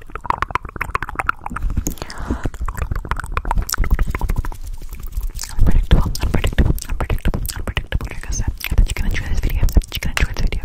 Unpredictable, unpredictable, unpredictable, unpredictable. Like I said, I bet you can enjoy this video. I bet you can enjoy this video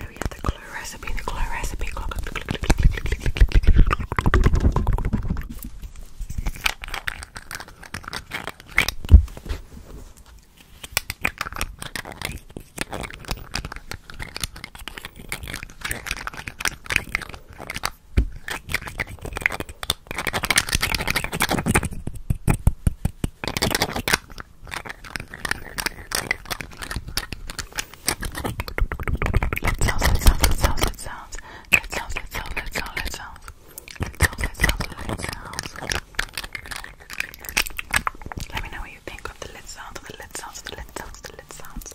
Oh yeah, the glue recipe, the glue recipe. Let's sounds, let's sounds, let's sounds, let's sounds. Let's sounds, let's sounds, let's sounds, let's sounds. Let's sounds, let's sounds, let's sounds. Let me know what you think of the lit sounds, of the lit sounds, of the lit sounds, of the lit sounds.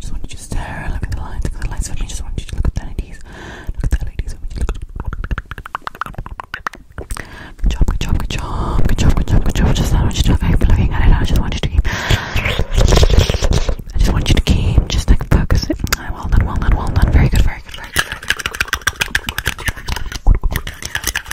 Just want you to stare, look at the lines, look at the lines Just want you to look at the ladies, look at the ladies Good job, good job, good job, good job, good job, good job. Just want you to keep looking at it. I just want you to keep. I just want you to keep just like focus it. well done, well done, well done. very good, very good. Very good.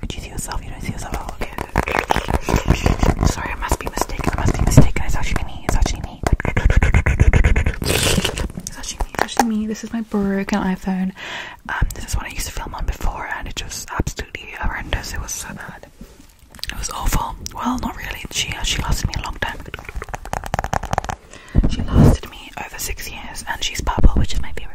Could you see yourself. You don't see yourself. Oh, okay. Sorry, I must be mistaken. I must be mistaken. It's actually me. It's actually me. It's actually me. It's actually me. This is my broken iPhone. Um, this is what I used to film on before, and it was absolutely horrendous. It was so bad. It was awful. Well, not really. She she lasted me a long time. She lasted me over six years, and she's purple, which is my favorite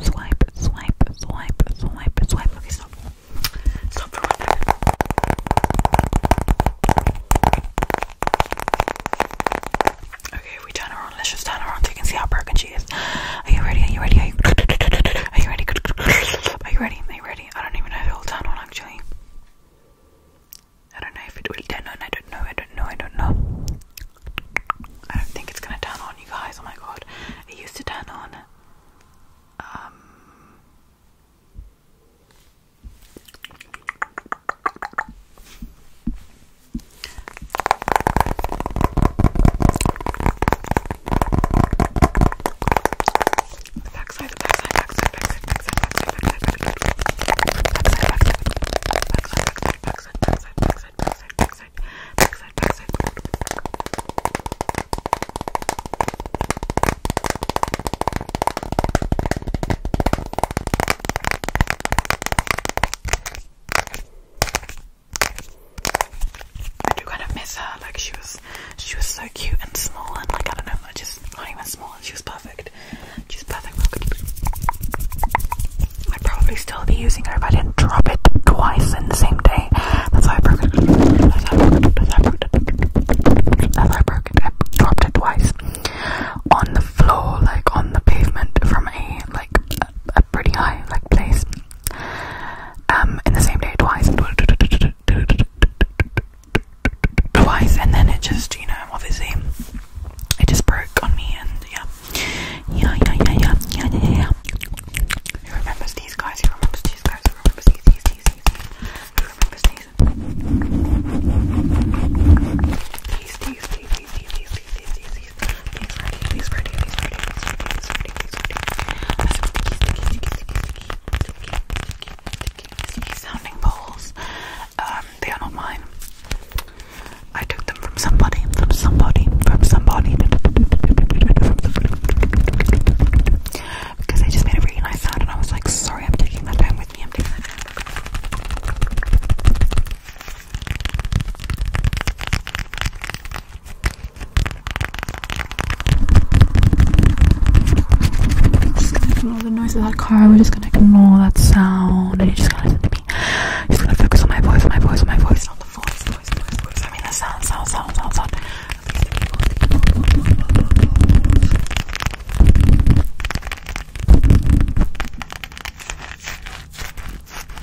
swipe, swipe, swipe, swipe, swipe. Okay, stop. Stop for one minute. Okay, we turn around. Let's just turn around so you can see how broken she is. Are you ready? Are you ready? Are you, Are you ready? Are you ready? Are you ready? I don't even know if it will turn on actually. I don't know if it will turn on. I don't know. I don't know. I don't know. I don't think it's gonna turn on, you guys. Oh my god, it used to turn on backside, backside, I do kind of miss her. Like she was, she was so cute and small, and like I don't know, just not even small. She was perfect. I'd probably still be using it if I didn't drop it twice in the same day. That's why I broke it. That's how I broke it. That's how I broke it. That's how I broke it. dropped it twice on the floor, like on the pavement, from a like a pretty high like place. Um, in the same day twice. Twice, and then it just you know obviously it just broke on me, and yeah, yeah, yeah, yeah, yeah, yeah, yeah, yeah. Who remembers these guys? Who remembers these guys? Who remembers these? These, these, these. Who remembers these? These, these, these, these, these, these, these, these, these. These ready, these ready, these ready, these ready, these ready, these ready. Sticky, sticky, sticky, sticky, sticky, sticky, sticky, sticky sounding bowls. Um, they are not mine. I took them from somebody, from somebody, from somebody. Because they just made a really nice sound, and I was like, sorry, I'm taking that down with me. I'm taking that down. Just going ignore the noise of that car. We're just gonna ignore that sound, and you just got to listen to just gonna focus on my voice, my voice, my voice, not the voice, voice, voice, voice. I mean the sound, sound, sound, sound, sound.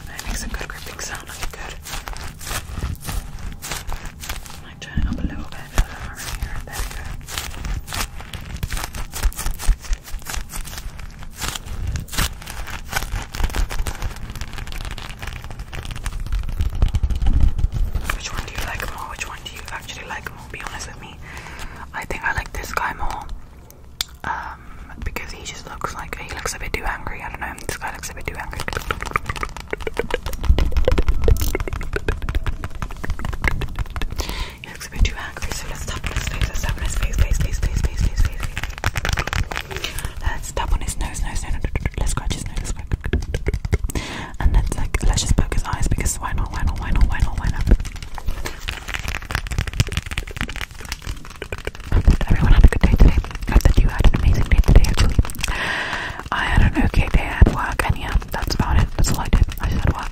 That makes a good gripping sound. That's good. I might turn it up a little bit. Right here. There we go. Which one do you like more? Which one do you actually like more? Be honest with me. I think I like this guy more. Um, because he just looks like he looks a bit too angry. I don't know. This guy looks a bit too angry. He looks a bit too angry, so let's tap on his face. Let's tap on his face, face, face, face, face, face, face. face. Let's tap on his nose, nose, nose, nose. Let's scratch his nose, let's scratch. And let's like let's just poke his eyes because why not, why not, why not, why not, why not? I hope that everyone had a good day today. I hope that you had an amazing day today actually. I had an okay day at work and yeah, that's about it. That's all I did. I just had work.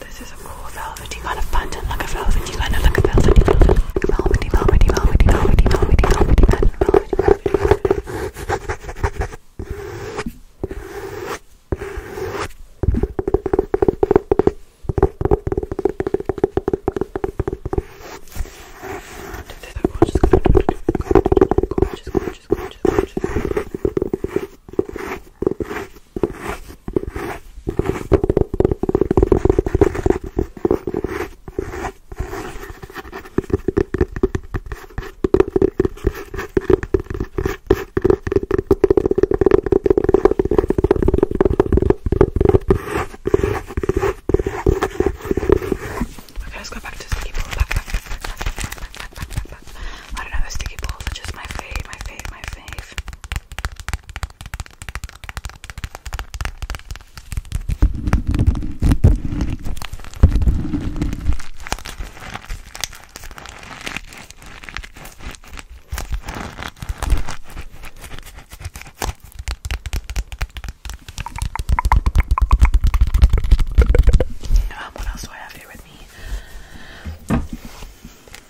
This is a cool velvet. You of pattern, like a velvety kind of like a velvety, velvety, velvety, velvety, velvety, velvety, velvety, velvety velvet, velvety, velvety. Gorgeous, gorgeous, gorgeous, Okay, let's go back to sticky ball. Back, back, back, back, back, back, back, back, back, back, back. I don't know, the sticky balls are just my fave, my fave, my fave. Um, what else do I have here with me?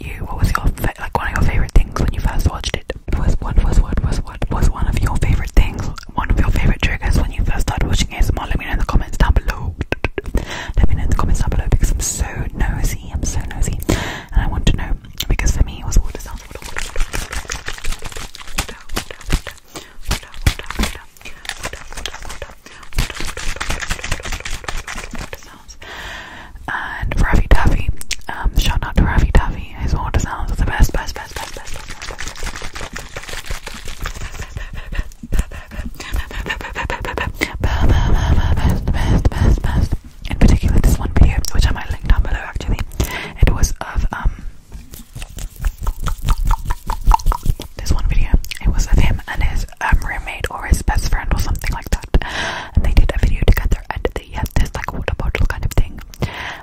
you? What was your like one of your favorite things when you first watched it? Was what was what was what was one of your favorite things? One of your favorite triggers when you first started watching ASMR? Let me know in the comments down below. Let me know in the comments down below because I'm so nosy. I'm so nosy, and I want to know because for me it was water sounds. Water, water, and Ravi Tavi, shout out to Ravi Tavi, his water sounds the best, best, best, best, best, best, best, best, best, best, In particular, this one video, which I might link down below actually, it was of, um, this one video, it was of him and his roommate or his best friend or something like that and they did a video together and they had this like a water bottle kind of thing.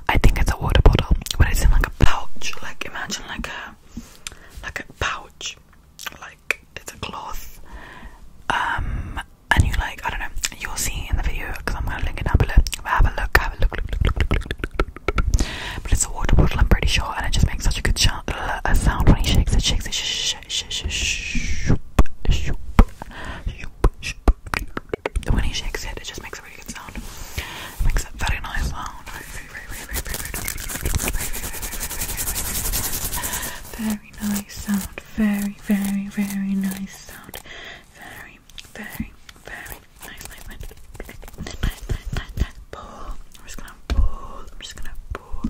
I think it's a water bottle, but it's in like a pouch. Like imagine like a like a pouch, like it's a cloth. Um, and you like I don't know. You'll see in the video because I'm gonna link it up a Have a look. Have a look. But it's a water bottle. I'm pretty sure, and it just makes such a good sound. when he shakes it. Shakes it. Sh when he shakes it, it just makes a really good sound. It makes a very nice sound. Very nice sound. Very, very, very nice sound. Very, very, very nice, nice, nice. Nice, nice, nice, nice. Pull. I'm just gonna pull. I'm just gonna pull.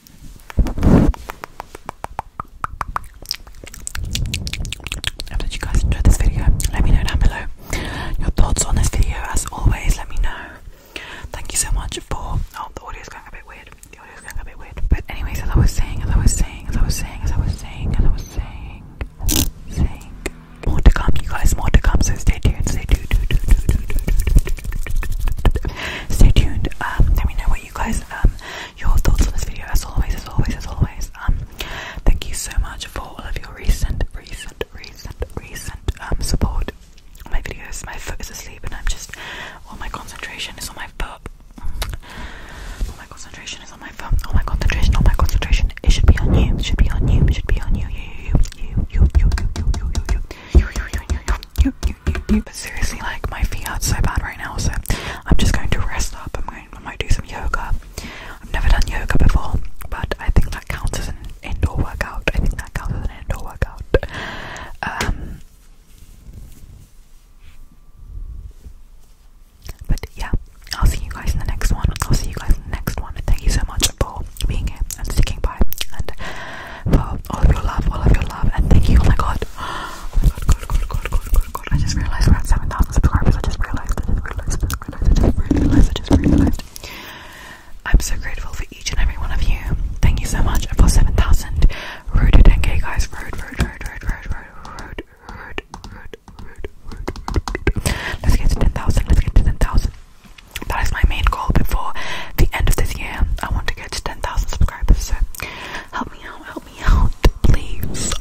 Hope that you guys enjoyed this video. Let me know down below your thoughts on this video. As always, let me know. Thank you so much for. Oh, the audio's going a bit weird. The audio's going a bit weird. But anyways, as I was saying, as I was saying, as I was saying, as I was saying, as I was saying, saying, more to come, you guys, more to come. So stay tuned. Stay tuned stay tuned. Um, let me know what you guys um, your thoughts on this video. As always, as always, as always. Um, thank you so much for all of your recent, recent, recent, recent support my videos. My foot is asleep, and I'm just all my concentration is on my phone. All my concentration is on my foot. All my concentration, Oh my concentration. It should be on you. It should be on you. It should be on you, you, you, you, you, you, you, you. But seriously, like my feet are so bad right now, so I'm just going to rest up. I'm going, I might do some yoga. I've never done yoga before, but I think that counts as an indoor workout. I think that counts as an indoor workout. Um, but yeah, I'll see you guys in the next one. I'll see you guys next one. Thank you so much for being and sticking by and for all of your love, all of your love, and thank you. Oh my god. Oh my god, god, god, god, god, god, I just realized we're at 7,000 subscribers. I just realized, I just realized, I just realized, I just realized, I just realized. I'm so grateful for each and every one of you. Thank you so much for 7,000. rooted to 10 guys. Road, road, road, road, road, road, road, road, road, road, road, Let's get to 10,000. Let's get to 10,000. That is my main goal before the end of this year. I want to to 10,000 subscribers. help me out, help me out, please.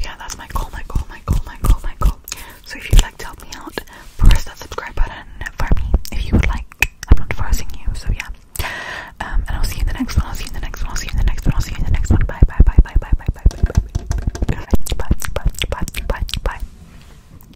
Yeah, that's my goal, my goal, my goal, my goal, my goal. So if you'd like help me out, press that subscribe button for me if you would like. I'm not forcing you, so yeah. and I'll see you in the next one. I'll see you in the next one. I'll see you in the next one. I'll see you in the next one. Bye, bye, bye, bye, bye, bye, bye, bye, bye, bye, bye, bye, bye, bye, bye.